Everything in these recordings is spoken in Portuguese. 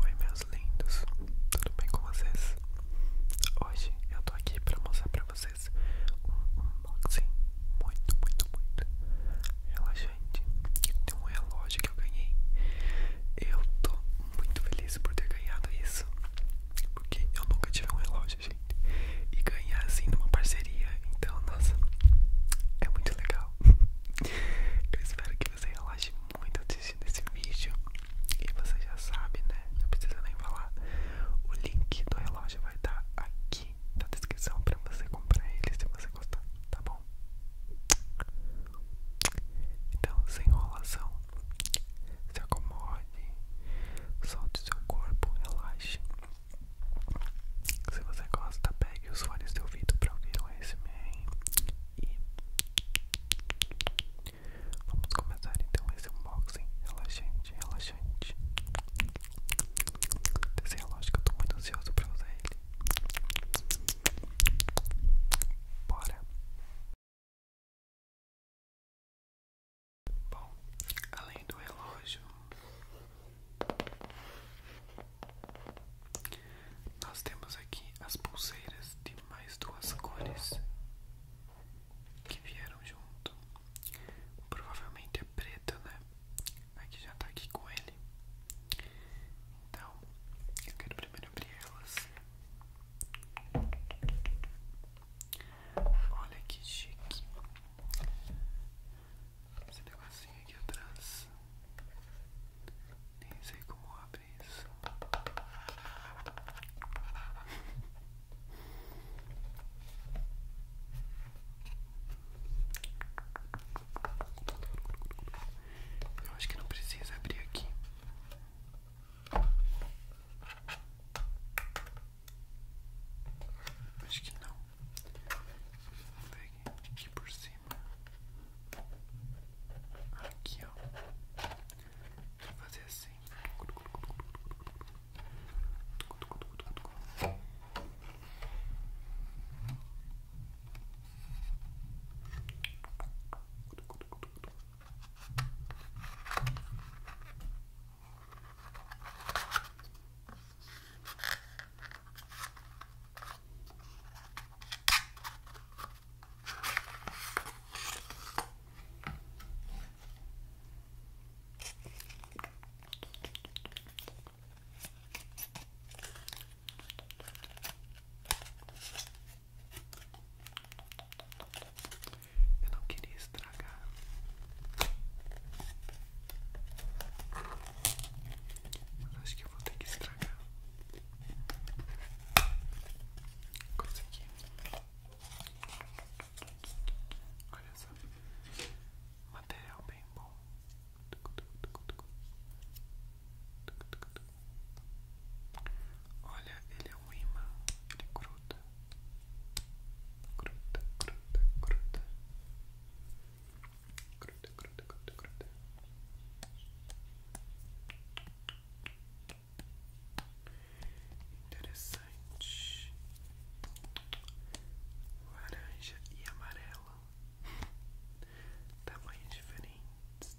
Oi meus lindos, tudo bem com vocês? Hoje eu tô aqui pra mostrar pra vocês um unboxing muito, muito, muito relaxante de um relógio que eu ganhei. Eu tô muito feliz por ter ganhado isso, porque eu nunca tive um relógio, gente, e ganhar assim numa parceria, então nossa, é muito legal. Eu espero que você relaxe muito assistir desse vídeo e você já sabe, né? Não precisa nem falar. O link do relógio vai estar tá aqui na descrição para você comprar ele se você gostar, tá bom? Então, sem enrolação, se acomode, solte seu corpo, relaxe. Se você gosta, pegue os fones de ouvido para ouvir o ASMR e vamos começar então esse unboxing relaxante, relaxante. desse relógio que eu tô muito ansioso pra usar ele. Bora! Bom, além do relógio, nós temos aqui as pulseiras de mais duas cores que vieram junto. Provavelmente é preta, né? Aqui já tá aqui com ele. Então, eu quero primeiro abrir elas. Olha que chique. Esse negocinho aqui atrás. Nem sei como abre isso. Eu acho que não precisa abrir aqui. Acho que não. Pegue aqui por cima. Aqui, ó. Vou fazer assim. Vou eu não queria estragar. Acho que vou ter que estragar. Olha só. Material bem bom. Olha, ele é um imã. Ele gruda. É gruda, gruda, gruda. Gruda, gruda, gruda, gruda. Interessante. Laranja e amarelo Tamanhos diferentes.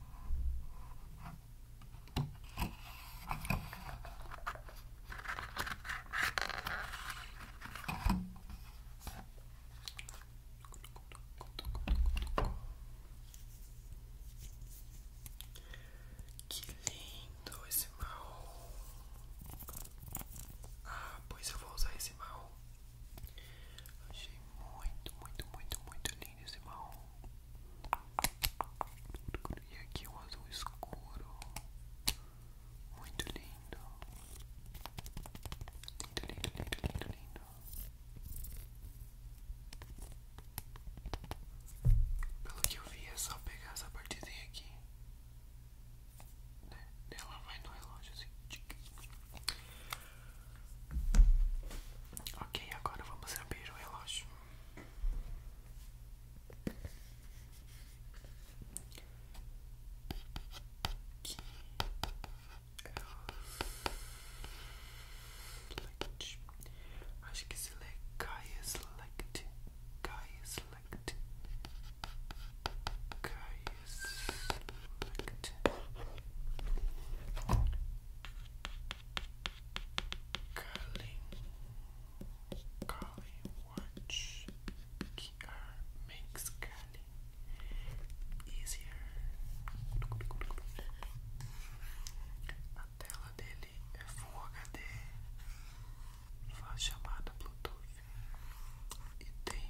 Que lindo esse mal. Ah, pois eu vou usar esse mal. Achei muito, muito, muito, muito lindo esse marrom. E aqui o azul escuro. Muito lindo. Lindo, lindo, lindo, lindo, lindo. Pelo que eu vi é só pegar essa partezinha aqui. Né? Ela vai no relógio assim. Ok, agora vamos abrir o relógio. Select. Acho que select Gaia Select Gaia Select Gaia Curling, curling watch, QR makes curling easier. A tela dele é Full HD, faz chamada Bluetooth e tem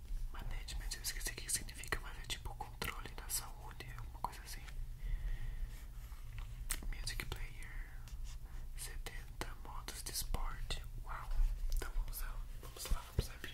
Management, eu esqueci o que significa, mas é tipo controle da saúde, alguma coisa assim. Music Player 70 modos de esporte. Uau! Então vamos lá, vamos lá, vamos abrir.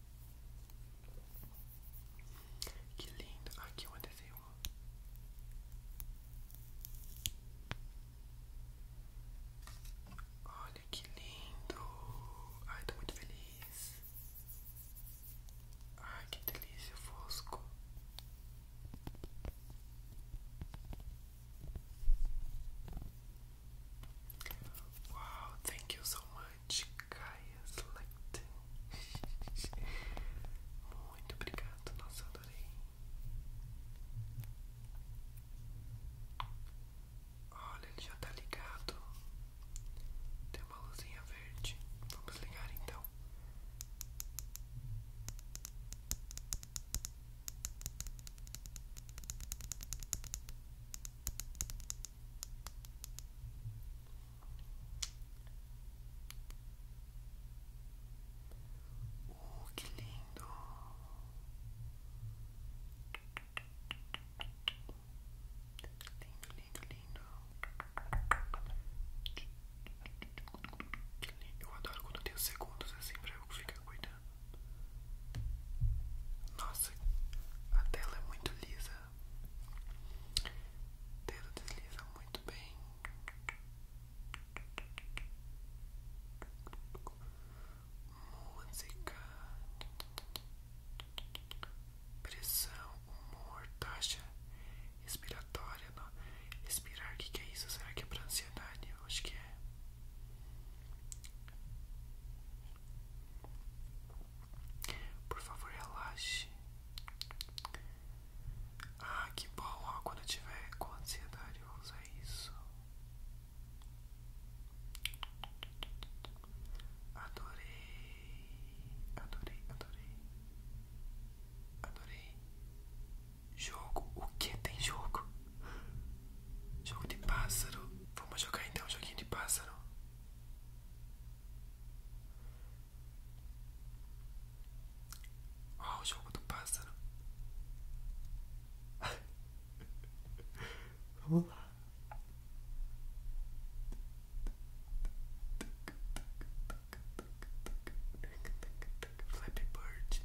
Que lindo. Aqui um desenho. Olha que lindo. Ai, estou muito feliz. Ai, que delícia, fosco. Wow, thank you so much, Gaia Select. Muito obrigado, nossa, adorei. Olha, ele já tá ligado. Tem uma luzinha verde. Vamos ligar então. Uh, que lindo. Lindo, lindo, lindo. Que lindo. Eu adoro quando tem segundos assim pra eu ficar cuidando. Nossa, a tela é muito lisa. O dedo desliza muito bem. Música, pressão, humor, taxa respiratória. Respirar, o que, que é isso? Será que é pra ansiedade? Eu acho que é. Por favor, relaxe. Ah, que bom, quando eu tiver com ansiedade, eu vou usar isso. Adorei, adorei, adorei, adorei. Jogo, o que tem jogo? Jogo de pássaro. Vamos jogar então um joguinho de pássaro. Ó, o jogo do pássaro. Vamos lá. Flappy Bird.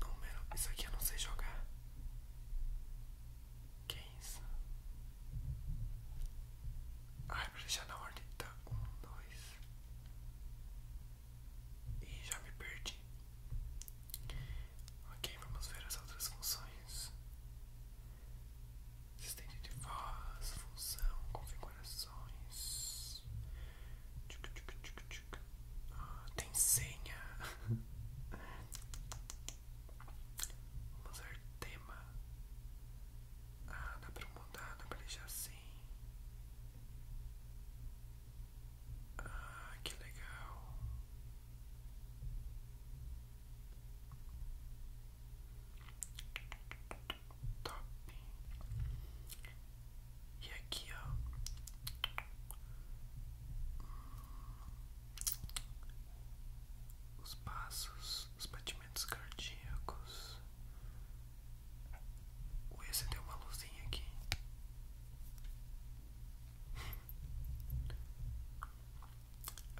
Número. Isso aqui eu não sei jogar. quem é isso? Ah, é pra deixar na ordem. Tá, um, dois. E já me perdi. Ok, vamos ver as outras funções. Assistente de voz, função, configurações. Ah, tem senha. Vamos usar tema. Ah, dá para mudar, dá para deixar assim. Ah, que legal top. Tá. E aqui, ó. Os passos, os batimentos cardíacos. Ui, você uma luzinha aqui.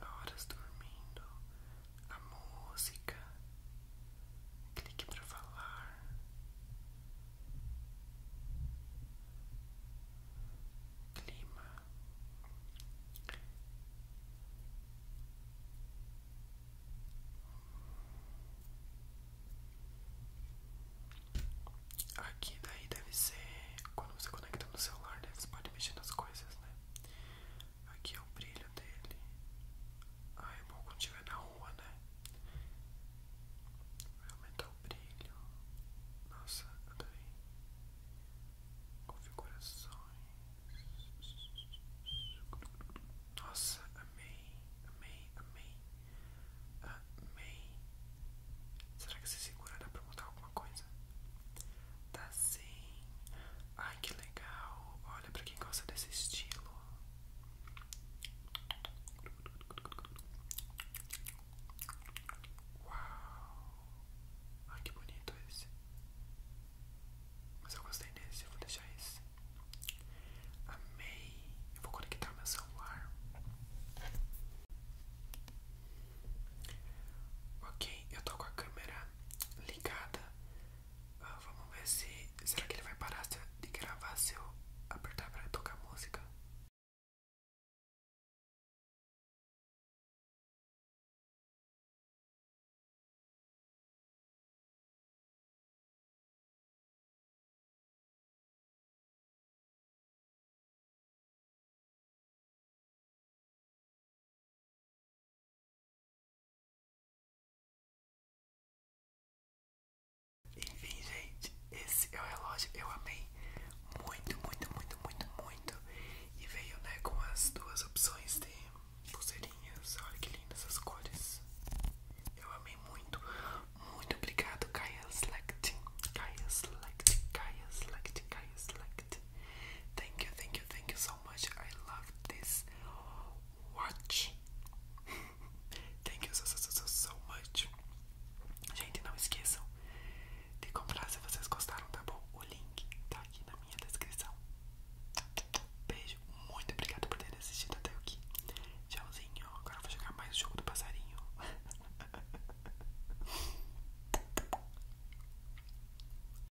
Horas dormindo, a música, Clique para falar. Clima. Aqui daí deve ser quando você conecta no celular, Você pode mexer nas coisas, né? Aqui é o brilho dele. ai é bom quando estiver na rua, né? Vai aumentar o brilho. Nossa, adorei. Configurações. Nossa, amei, amei, amei. Amei. Será que você segura dá pra mudar alguma coisa? Tá sim. Ai, que legal. Olha. Olha para quem gosta desse estilo. Uau! Ai que bonito esse. Mas eu gostei desse, vou deixar esse. Amei! Eu vou conectar meu celular. Ok, eu tô com a câmera ligada ah, vamos ver se. Será que ele vai parar de gravar se eu apertar para tocar música? Enfim, gente, esse é o relógio. Eu amei muito, muito, muito, muito, muito. E veio, né, com as duas opções de pulseirinhas. Olha que lindas as cores. Eu amei muito. Muito obrigado, Kaia Select. Kaia Select, Kaia Select, Kaia Select. Thank you, thank you, thank you so muito, eu amo love this watch. Thank you so, so, so, so much. Gente, não esqueçam de comprar se vocês gostaram, tá bom? O link tá aqui na minha descrição. Beijo, muito obrigado por ter assistido até aqui. Tchauzinho. Agora vou jogar mais o jogo do passarinho.